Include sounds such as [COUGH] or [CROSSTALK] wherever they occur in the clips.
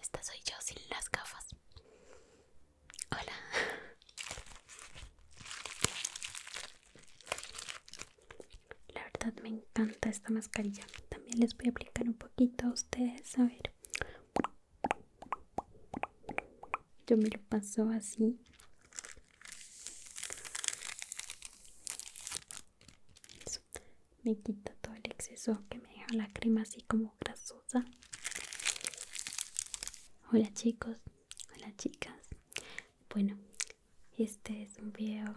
Esta soy yo sin las gafas. Hola. La verdad me encanta esta mascarilla. También les voy a aplicar un poquito a ustedes. A ver. Yo me lo paso así. Pues, me quita todo el exceso que me deja la crema así como grasosa hola chicos hola chicas bueno este es un video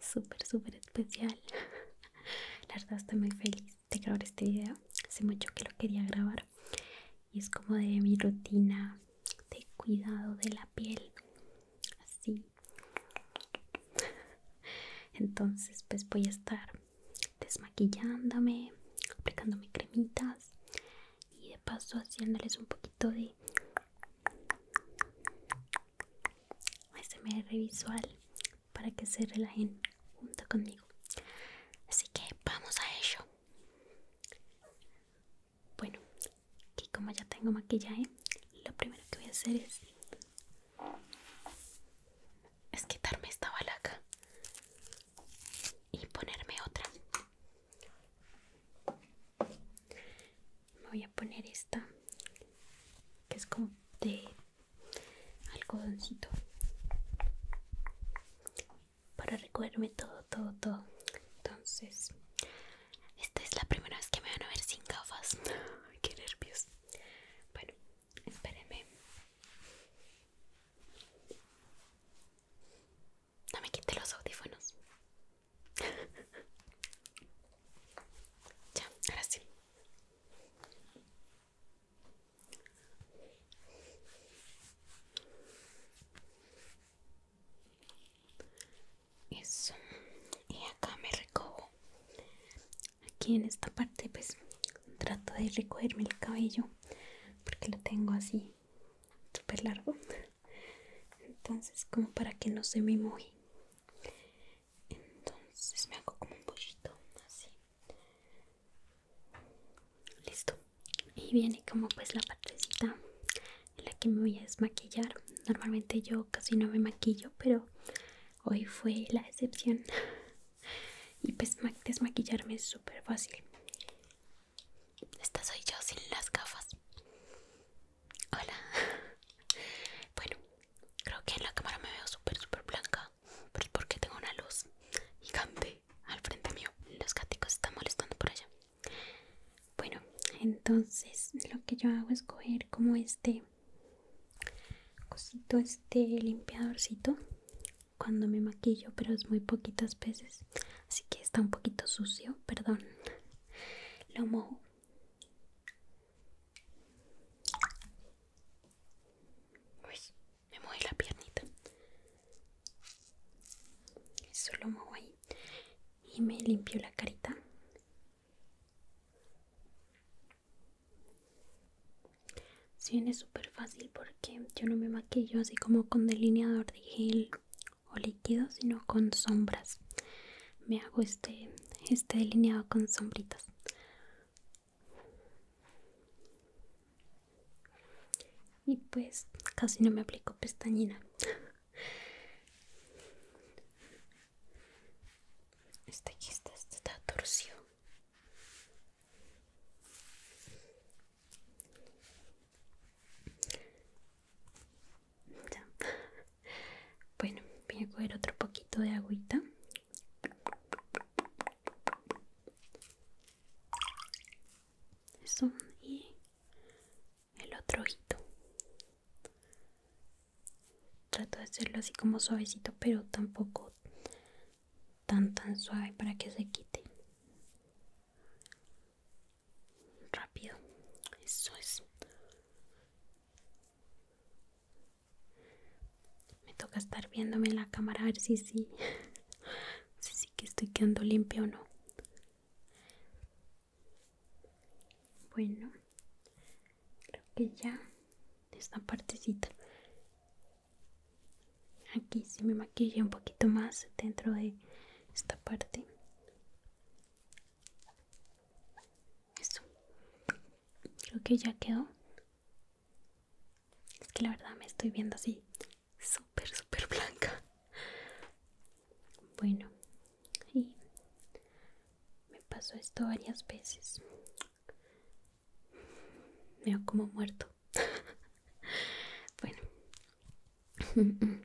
súper súper especial [LAUGHS] la verdad estoy muy feliz de grabar este video hace mucho que lo quería grabar y es como de mi rutina de cuidado de la piel así [LAUGHS] entonces pues voy a estar desmaquillándome, aplicándome cremitas y de paso haciéndoles un poquito de SMR visual para que se relajen junto conmigo. Así que vamos a ello. Bueno, aquí como ya tengo maquillaje, lo primero que voy a hacer es es quitarme esta balaca y ponerme otra. Me voy a poner esta que es como de algodoncito para recogerme todo, todo, todo. Entonces, esta es la primera vez que me van a ver sin gafas. [LAUGHS] Qué nervios. Bueno, Espéreme. No me quite los audífonos. [LAUGHS] ya, ahora sí. Eso. Y acá me recojo aquí en esta parte pues trato de recogerme el cabello porque lo tengo así súper largo entonces como para que no se me moje entonces me hago como un pollito así listo y viene como pues la partecita en la que me voy a desmaquillar normalmente yo casi no me maquillo pero hoy fue la excepción y pues desmaquillarme es súper fácil esta soy yo sin las gafas hola bueno creo que en la cámara me veo súper súper blanca pero es porque tengo una luz gigante al frente mío los gaticos están molestando por allá bueno entonces lo que yo hago es coger como este Cosito este limpiadorcito cuando me maquillo, pero es muy poquitas veces, así que está un poquito sucio, perdón. Lo mojo. me moví la piernita. Eso lo mojo ahí y me limpio la carita bien es súper fácil porque yo no me maquillo así como con delineador de gel o líquido, sino con sombras. Me hago este, este delineado con sombritas. Y pues casi no me aplico pestañina este aquí está, esta está torsión. Bueno, voy a coger otro poquito de agüita. Eso y el otro ojito trato de hacerlo así como suavecito pero tampoco tan tan suave para que se quite rápido eso es me toca estar viéndome en la cámara a ver si sí [LAUGHS] si sí que estoy quedando limpio o no bueno creo que ya esta partecita aquí si me maquilla un poquito más dentro de esta parte eso creo que ya quedó es que la verdad me estoy viendo así súper súper blanca bueno y me pasó esto varias veces. Me veo como muerto. [LAUGHS] bueno, [LAUGHS]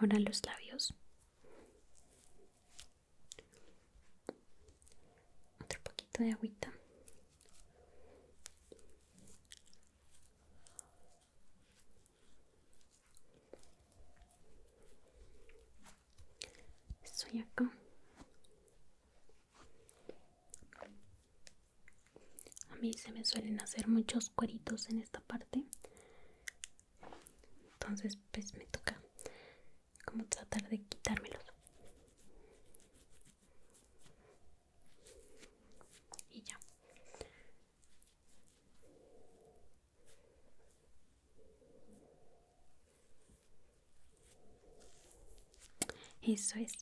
ahora los labios. Otro poquito de agüita. Estoy acá. A mí se me suelen hacer muchos cueritos en esta parte. Entonces pues me toca como tratar de quitármelos. Y ya. Eso es.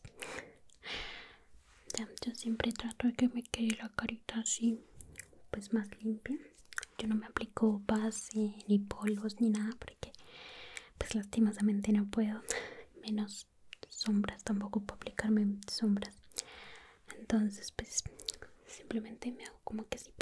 yo siempre trato de que me quede la carita así, pues más limpia. Yo no me aplico base, ni polvos, ni nada, porque pues lastimosamente no puedo. Menos sombras, tampoco puedo aplicarme sombras. Entonces, pues simplemente me hago como que así.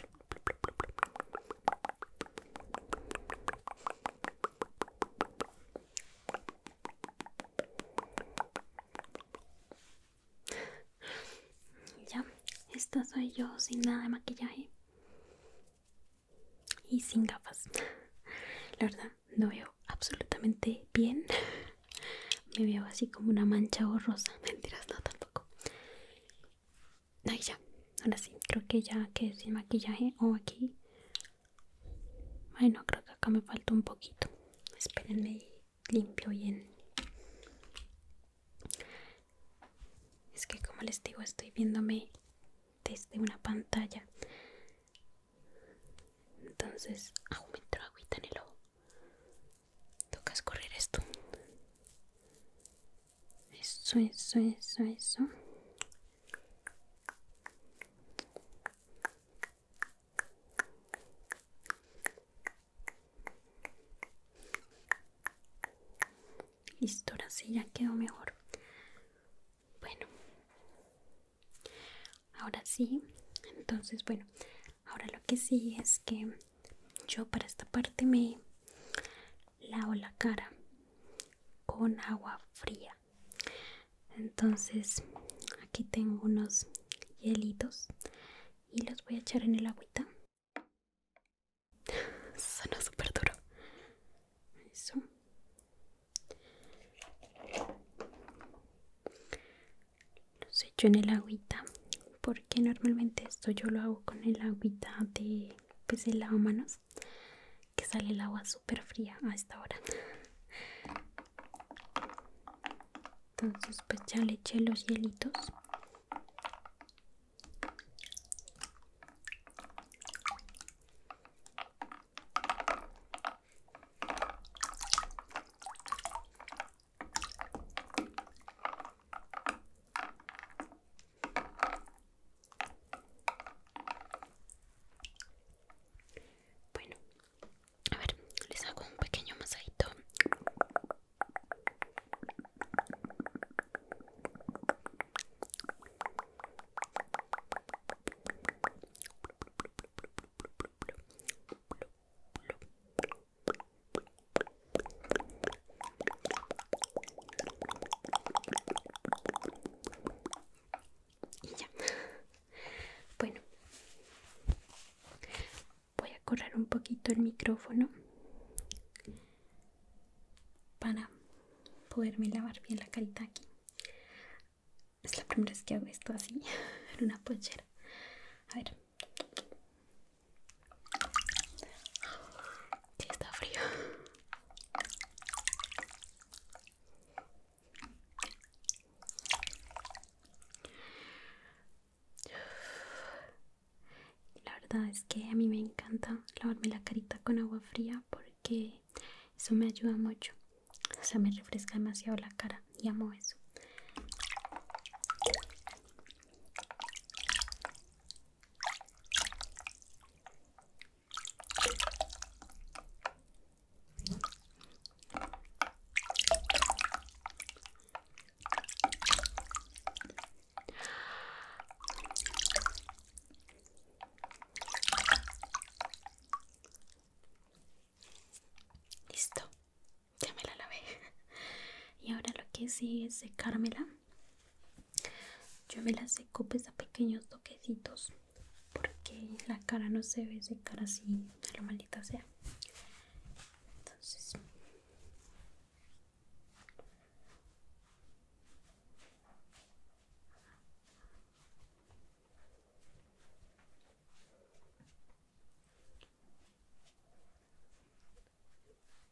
Ya, esta soy yo sin nada de maquillaje y sin gafas. La verdad, no veo absolutamente bien. [LAUGHS] Me veo así como una mancha borrosa. Mentiras, no tampoco. Ahí ya, ahora sí, creo que ya que sin maquillaje o aquí. bueno creo que acá me falta un poquito. Espérenme, limpio bien. Es que como les digo, estoy viéndome desde una pantalla. Entonces, aún agüita en el ojo. Toca correr esto. Eso, eso, eso, eso. Listo, ahora sí ya quedó mejor. Bueno, ahora sí. Entonces, bueno, ahora lo que sí es que yo para esta parte me lavo la cara con agua fría entonces aquí tengo unos hielitos y los voy a echar en el agüita suena súper duro eso los echo en el agüita porque normalmente esto yo lo hago con el agüita de pues lavamanos que sale el agua súper fría a esta hora entonces pues ya le eché los hielitos bueno, a ver, les hago un pequeño masajito. Y ya. Bueno, voy a correr un poquito el micrófono para poderme lavar bien la calita aquí. Es la primera vez que hago esto así, [LAUGHS] en una pochera. A ver está frío. La verdad es que a mí me encanta lavarme la carita con agua fría porque eso me ayuda mucho. O sea, me refresca demasiado la cara y amo eso. Listo, ya me la lavé. [LAUGHS] Y ahora lo que sigue es secármela. Yo me las seco Pese a pequeños toquecitos porque la cara no se ve secar así, de lo maldita sea. Entonces,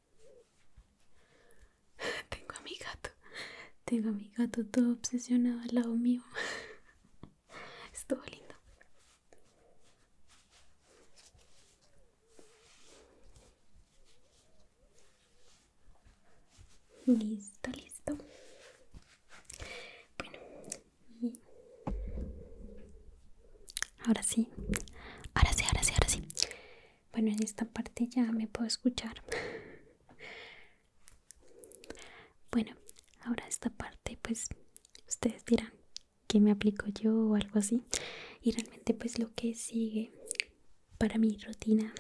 [LAUGHS] Tengo a mi gato. Tengo a mi gato todo obsesionado al lado mío. [LAUGHS] Estuvo lindo. Listo, listo. Bueno, Ahora sí, ahora sí, ahora sí, ahora sí. Bueno, en esta parte ya me puedo escuchar. Bueno, ahora esta parte pues ustedes dirán que me aplico yo o algo así. Y realmente pues lo que sigue para mi rutina.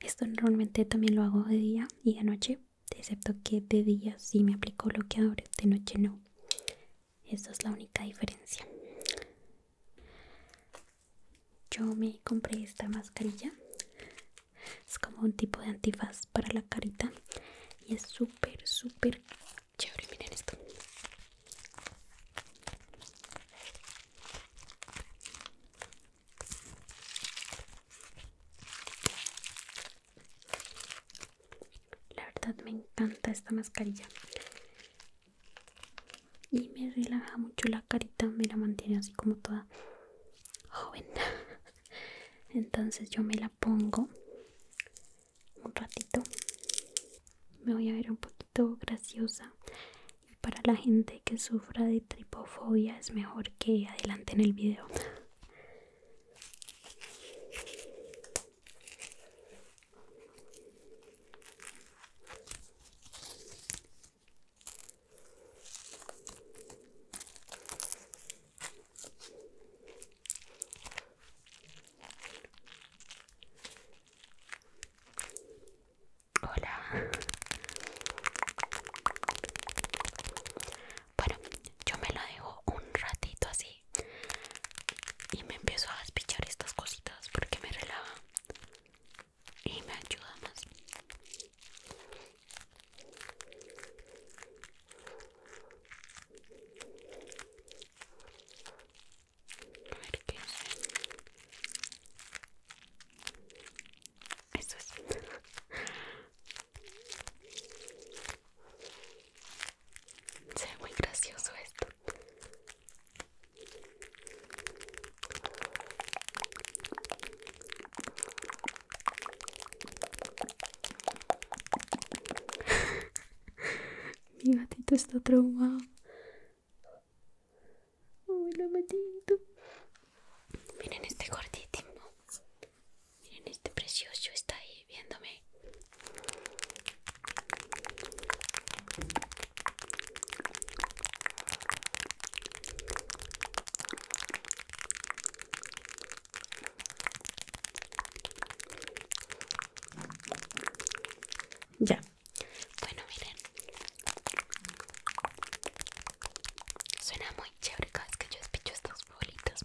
Esto normalmente también lo hago de día y de noche, excepto que de día sí me aplico bloqueadores, de noche no. Esta es la única diferencia. Yo me compré esta mascarilla. Es como un tipo de antifaz para la carita. Y es súper, súper chévere. Miren esto. La verdad me encanta esta mascarilla y me relaja mucho la carita, me la mantiene así como toda joven. [LAUGHS] Entonces yo me la pongo un ratito. Me voy a ver un poquito graciosa. Y para la gente que sufra de tripofobia es mejor que adelante en el video. Hola. Bueno, yo me lo dejo un ratito así y me empiezo a despichar estas cositas porque me relaja y me ayuda más se ve muy gracioso esto. [LAUGHS] Mi gatito está traumado. Hola, gatito. Miren este gordito Miren este precioso está ahí viéndome. Ya. Bueno, miren. Suena muy chévere cada que yo despicho estos bolitas.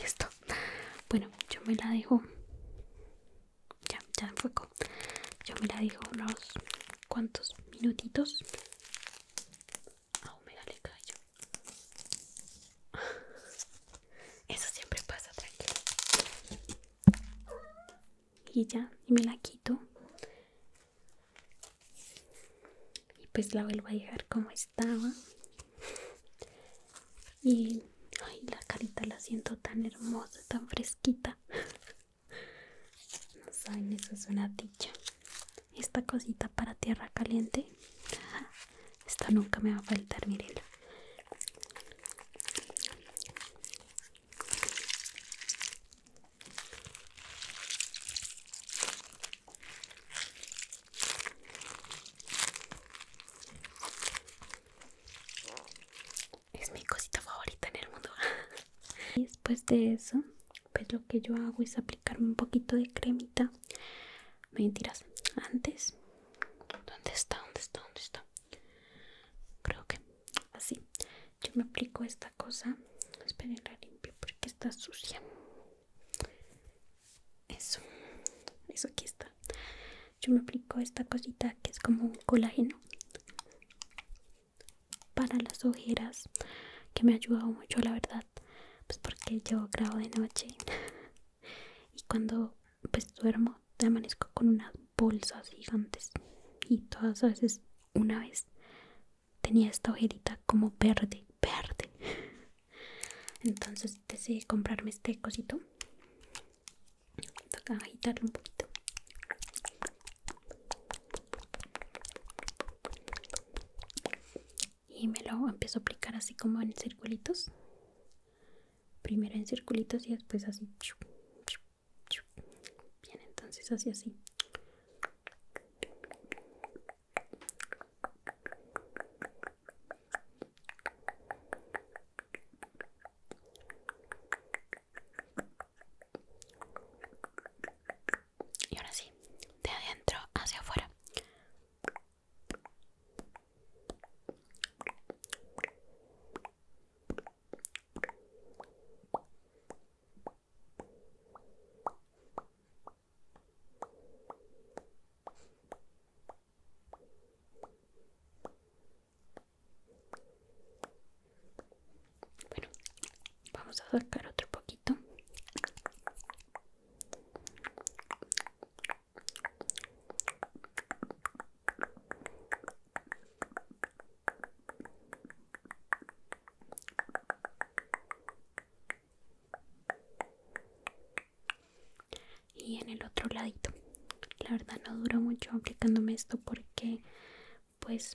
Listo. Bueno, yo me la dejo. Ya, ya fuego. Yo me la dejo unos cuantos minutitos. Aún ah, oh, me dale callo. [LAUGHS] Eso siempre pasa, tranquilo. Y ya, y me la quito. Y pues la vuelvo a dejar como estaba. Y ay, la carita la siento tan hermosa, tan fresquita. [LAUGHS] No saben, eso es una dicha esta cosita para tierra caliente esta nunca me va a faltar miren es mi cosita favorita en el mundo [LAUGHS] después de eso pues lo que yo hago es aplicar un poquito de cremita. Mentiras, antes. ¿Dónde está? ¿Dónde está? ¿Dónde está? Creo que así. Yo me aplico esta cosa. Esperen, la limpio porque está sucia. Eso, eso aquí está. Yo me aplico esta cosita que es como un colágeno para las ojeras que me ha ayudado mucho, la verdad pues porque yo grabo de noche y cuando pues duermo amanezco con unas bolsas gigantes y todas a veces una vez tenía esta ojerita como verde verde entonces decidí comprarme este cosito agitarlo un poquito y me lo empiezo a aplicar así como en circulitos primero en circulitos y después así bien entonces así así y ahora sí de adentro hacia afuera bueno, vamos a sacar otro poquito y en el otro ladito la verdad no duró mucho aplicándome esto porque pues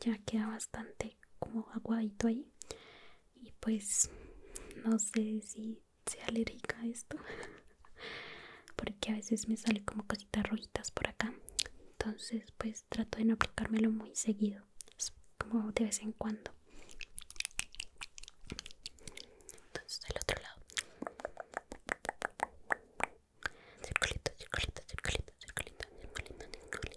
ya queda bastante como aguadito ahí y pues no sé si sea alérgica a esto [LAUGHS] porque a veces me sale como cositas rojitas por acá entonces pues trato de no aplicármelo muy seguido como de vez en cuando entonces del otro lado circulito circulito circulito circulito circulito circulito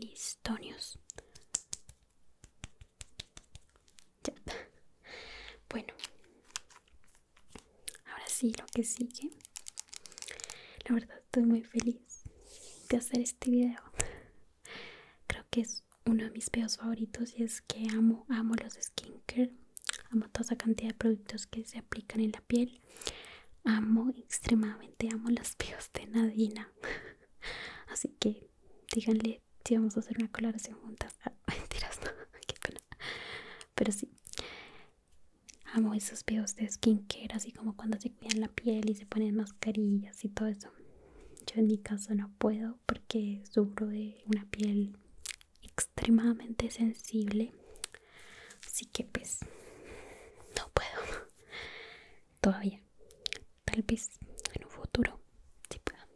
Listonios. Ya. Bueno, ahora sí, lo que sigue. La verdad estoy muy feliz de hacer este video. Creo que es uno de mis videos favoritos y es que amo, amo los skincare amo toda esa cantidad de productos que se aplican en la piel amo extremadamente amo las pieles de Nadina [LAUGHS] así que díganle si vamos a hacer una coloración juntas ah, [LAUGHS] mentiras no [LAUGHS] pero sí amo esos videos de skincare así como cuando se cuidan la piel y se ponen mascarillas y todo eso yo en mi caso no puedo porque sufro de una piel extremadamente sensible así que pues no puedo todavía tal vez en un futuro si bueno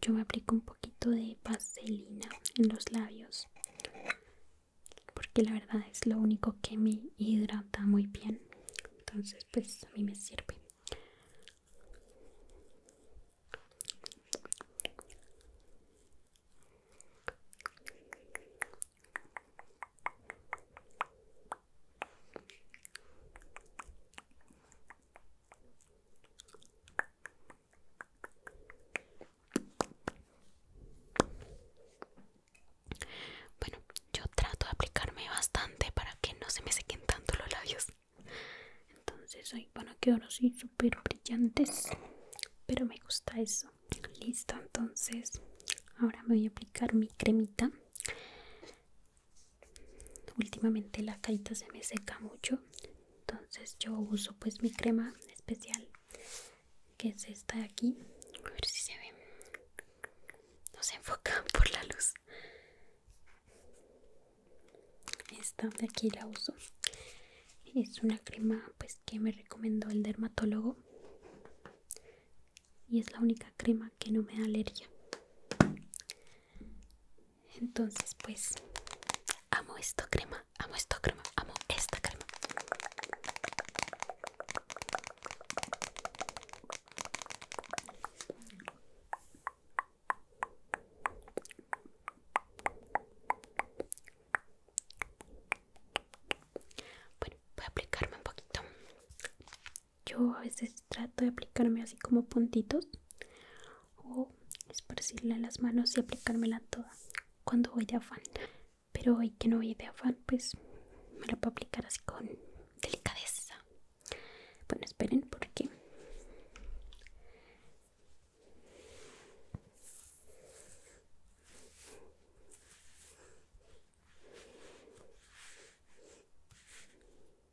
yo me aplico un poquito de vaselina en los labios porque la verdad es lo único que me hidrata muy bien entonces pues a mí me sirve bueno, yo trato de aplicarme bastante para que no se me sequen tanto los labios. Entonces bueno, van así súper brillantes. Pero me gusta eso. Listo, entonces ahora me voy a aplicar mi cremita. Últimamente la carita se me seca mucho. Entonces yo uso pues mi crema especial que es esta de aquí a ver si se ve no se enfoca [LAUGHS] por la luz esta de aquí la uso es una crema pues que me recomendó el dermatólogo y es la única crema que no me da alergia entonces pues Amo esta crema, amo esta crema, amo esta crema. Bueno, voy a aplicarme un poquito. Yo a veces trato de aplicarme así como puntitos o esparcirla en las manos y aplicármela toda cuando voy de afán. Pero hoy que no voy de afán, pues me lo puedo aplicar así con delicadeza. Bueno, esperen porque...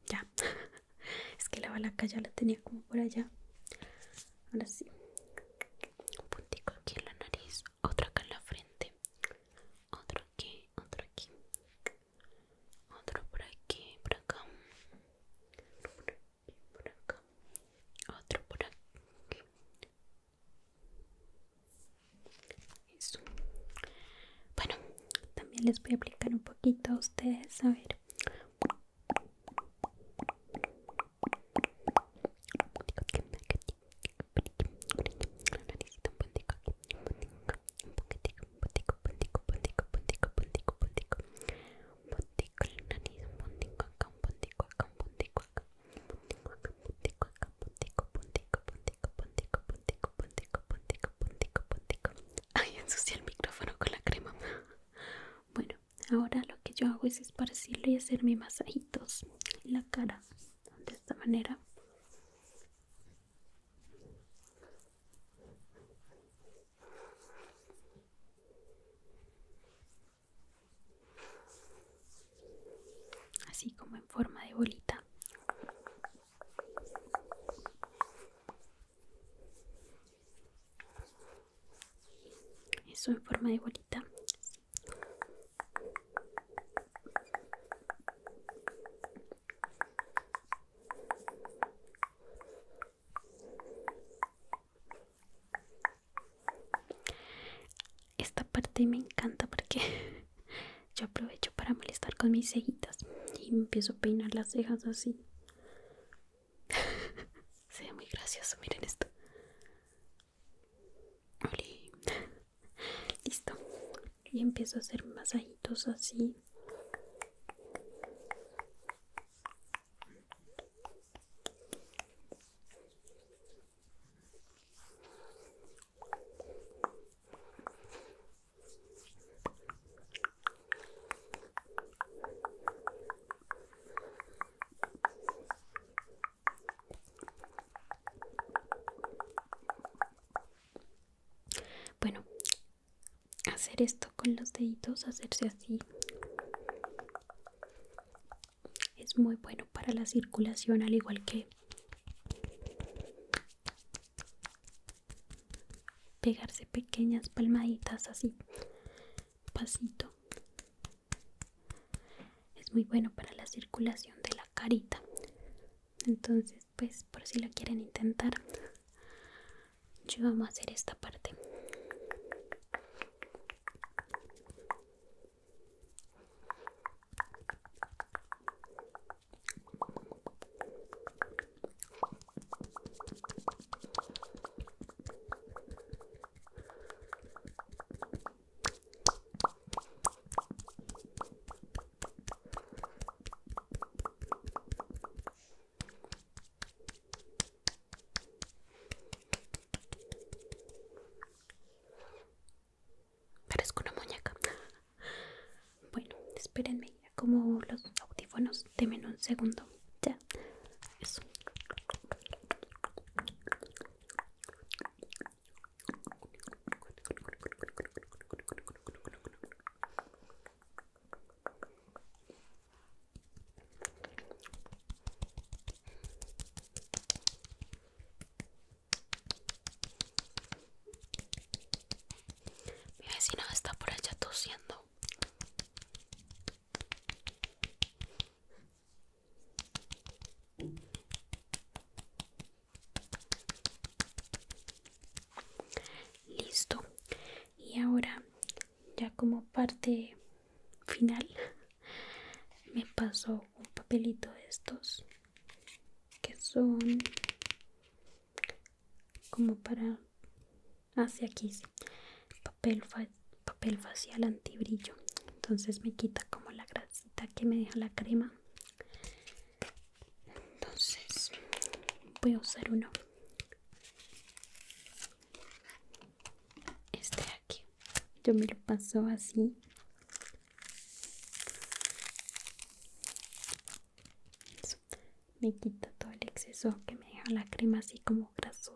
Ya, [LAUGHS] es que la balaca ya la tenía como por allá. Ahora sí. Un puntico aquí en la nariz, otro acá en la frente, otro aquí, otro aquí, otro por aquí, por acá, otro por aquí, por acá, otro por aquí. Eso. Bueno, también les voy a aplicar un poquito a ustedes, a ver. Ay, ensucié el micrófono con la crema. [LAUGHS] ahora lo que yo hago es esparcirlo y hacerme masajitos en la cara de esta manera así como en forma de bolita eso en forma de bolita. Esta parte me encanta porque [LAUGHS] yo aprovecho para molestar con mis cejitas y empiezo a peinar las cejas así [LAUGHS] Se muy gracioso, miren esto. [LAUGHS] Listo. Y empiezo a hacer masajitos así. Bueno, hacer esto con los deditos, hacerse así, es muy bueno para la circulación, al igual que pegarse pequeñas palmaditas así pasito es muy bueno para la circulación de la carita entonces pues por si lo quieren intentar yo vamos a hacer esta parte Parezco una muñeca. [LAUGHS] Bueno, espérenme, como los audífonos Dime un segundo. Ya, eso. Mi vecina está por allá tosiendo. Listo. Y ahora, ya como parte final, me pasó un papelito de estos que son como para hacia aquí papel, papel facial antibrillo entonces me quita como la grasita que me deja la crema entonces voy a usar uno este aquí yo me lo paso así me quita todo el exceso que me deja la crema así como graso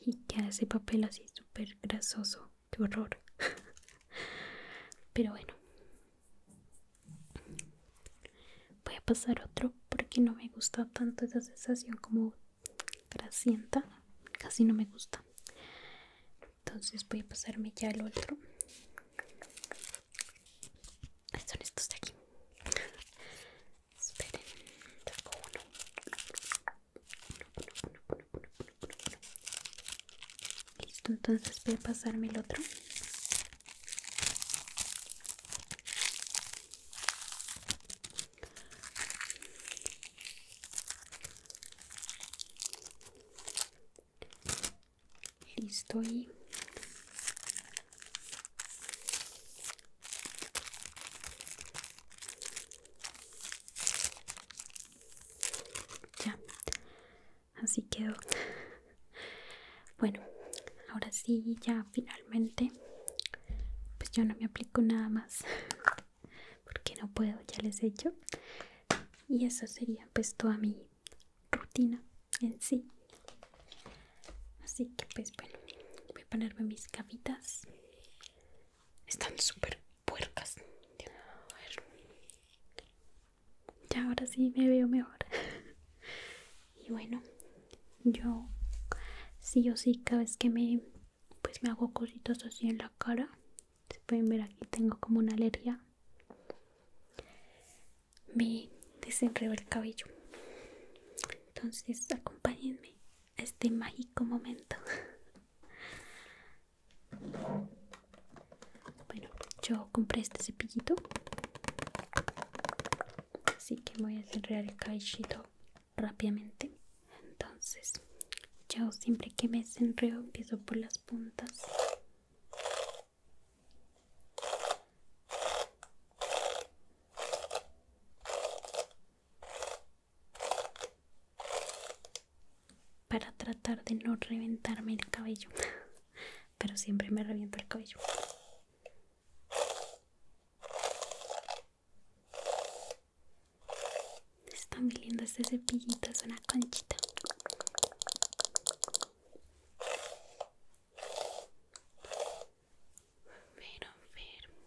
y queda ese papel así súper grasoso. ¡Qué horror! [LAUGHS] Pero bueno, voy a pasar otro porque no me gusta tanto esa sensación como grasienta. Casi no me gusta. Entonces voy a pasarme ya el otro. Son estos de aquí. Esperen, tengo Listo, entonces voy a pasarme el otro. Listo y ya, así quedó. Bueno, ahora sí, ya finalmente, pues yo no me aplico nada más [LAUGHS] porque no puedo, ya les he hecho. Y eso sería pues toda mi rutina en sí. Así que pues bueno, voy a ponerme mis capitas. Están súper puercas. Ya ahora sí me veo mejor. [LAUGHS] y bueno, yo sí o sí cada vez que me pues me hago cositas así en la cara. Se pueden ver aquí tengo como una alergia. Me desenredo el cabello. Entonces acompáñenme este mágico momento. Bueno, yo compré este cepillito. Así que voy a cerrar el caillito rápidamente. Entonces, yo siempre que me desenreo empiezo por las puntas para tratar de no reventarme el cabello pero siempre me reviento el cabello Está muy lindo este cepillito es una conchita pero, pero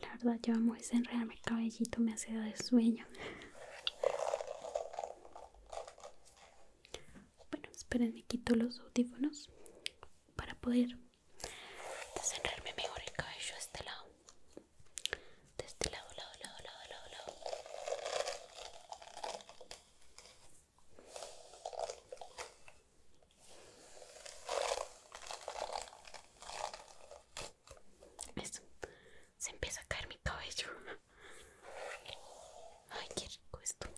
La verdad, yo amo desenredarme el cabellito, me hace de sueño. Bueno, esperen, me quito los audífonos para poder desenredarme mejor el cabello de este lado. De este lado, lado, lado, lado, lado, lado esto Se empieza a caer mi cabello. Ay, qué rico esto.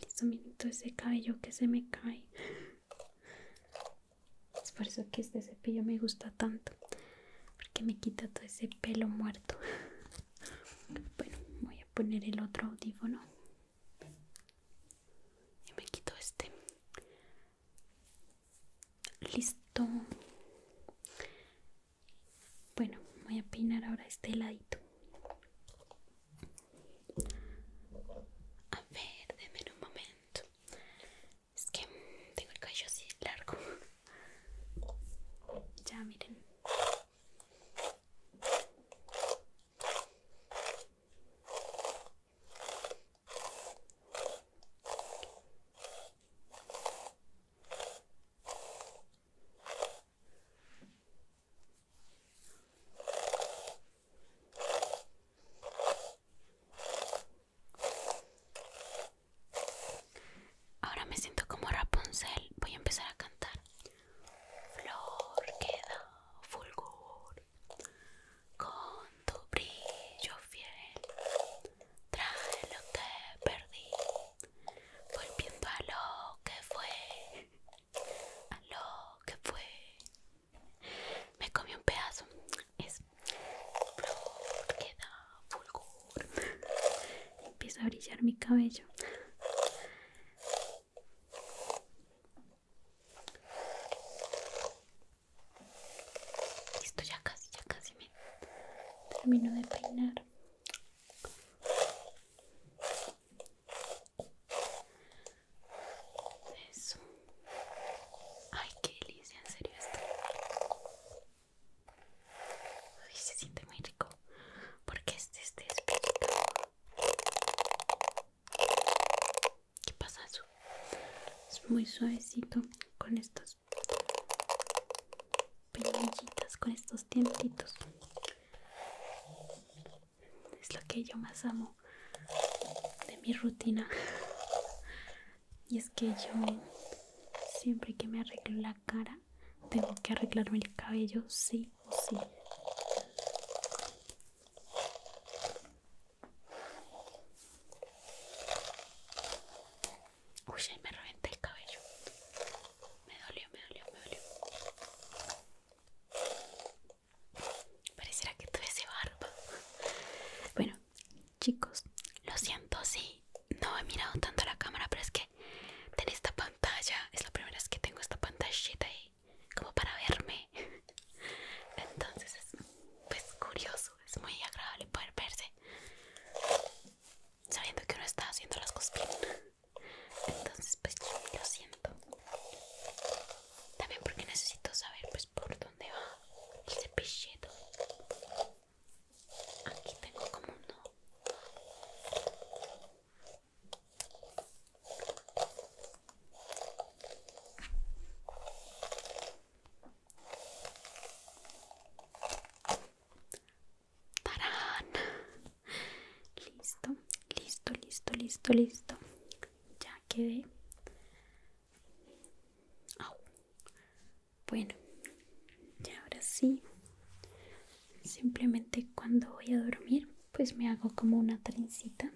Listo, miren todo ese cabello que se me cae. Es por eso que este cepillo me gusta tanto. Porque me quita todo ese pelo muerto. Bueno, voy a poner el otro audífono. Y me quito este listo bueno voy a peinar ahora este ladito a ver deme un momento es que tengo el cabello así largo ya miren Ahora me siento como Rapunzel. Voy a empezar a cantar. Flor queda fulgor con tu brillo fiel traje lo que perdí, volviendo a lo que fue, a lo que fue. Me comí un pedazo, es flor que da fulgor. Empieza a brillar mi cabello. Listo, ya casi, ya casi me termino de peinar. Eso. Ay, qué delicia, en serio esto. se siente muy rico. Porque este, este es de espíritu. ¿Qué pasa eso? Es muy suavecito con estos peinillitas con estos tientitos es lo que yo más amo de mi rutina [LAUGHS] y es que yo siempre que me arreglo la cara tengo que arreglarme el cabello sí o sí Uy, me reventé el cabello. Me dolió, me dolió, me dolió. Pareciera que ese barba. Bueno, chicos, lo siento si no he mirado tanto la cámara, pero es que en esta pantalla es la primera vez que tengo esta pantallita ahí como para verme. [LAUGHS] Entonces es pues curioso es muy agradable poder verse sabiendo que uno está haciendo las cosas bien entonces pues lo siento también porque necesito saber pues por dónde va el cepillito aquí tengo como uno Tarán. Listo, listo, listo, listo, listo. Ya quedé. Bueno, ya ahora sí. Simplemente cuando voy a dormir, pues me hago como una trencita.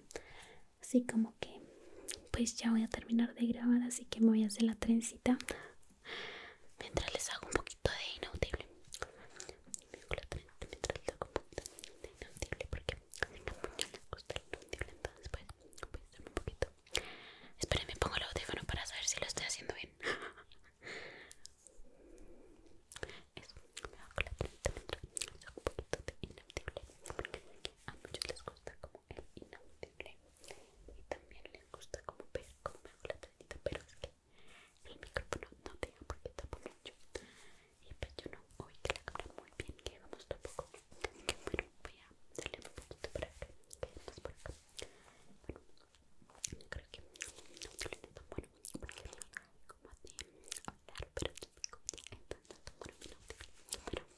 Así como que pues ya voy a terminar de grabar, así que me voy a hacer la trencita mientras les hago un poquito de inaudible. Me hago la trencita mientras les hago un poquito de inaudible porque muchos me gusta el inaudible, entonces pues voy a un poquito. Esperen, me pongo el audífono para saber si lo estoy haciendo bien. [LAUGHS] Eso, me hago la trencita mientras les hago un poquito de inaudible porque a muchos les gusta como el inaudible y también le gusta como ver me hago la pero es que el micrófono no da porque tampoco mucho y pues yo no oí que la cámara muy bien que vamos tampoco que bueno voy a darle un poquito para que más por acá bueno creo que no suele tan bueno porque como así hablar pero típico, entonces un minuto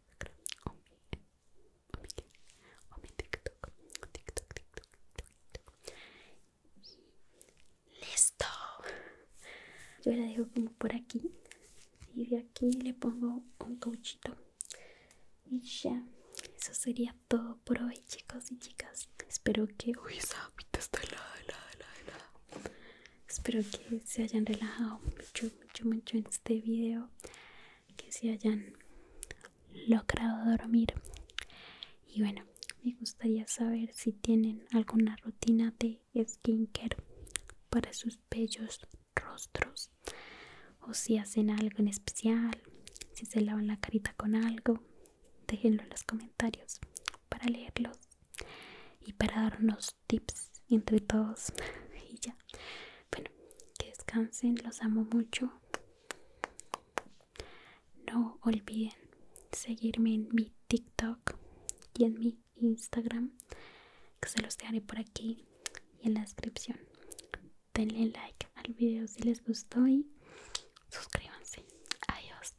Instagram o mi, TikTok, TikTok, TikTok, TikTok, ¡Listo! Yo la dejo como por aquí y de aquí le pongo un cauchito y ya. Eso sería todo por hoy, chicos y chicas. Espero que. Uy, esa está la helada, helada, helada espero que se hayan relajado mucho mucho mucho en este video que se hayan logrado dormir y bueno me gustaría saber si tienen alguna rutina de skincare para sus bellos rostros o si hacen algo en especial si se lavan la carita con algo déjenlo en los comentarios para leerlos y para darnos tips entre todos [LAUGHS] y ya bueno que descansen los amo mucho no olviden seguirme en mi tiktok y en mi instagram que se los dejaré por aquí y en la descripción denle like al video si les gustó y suscríbanse adiós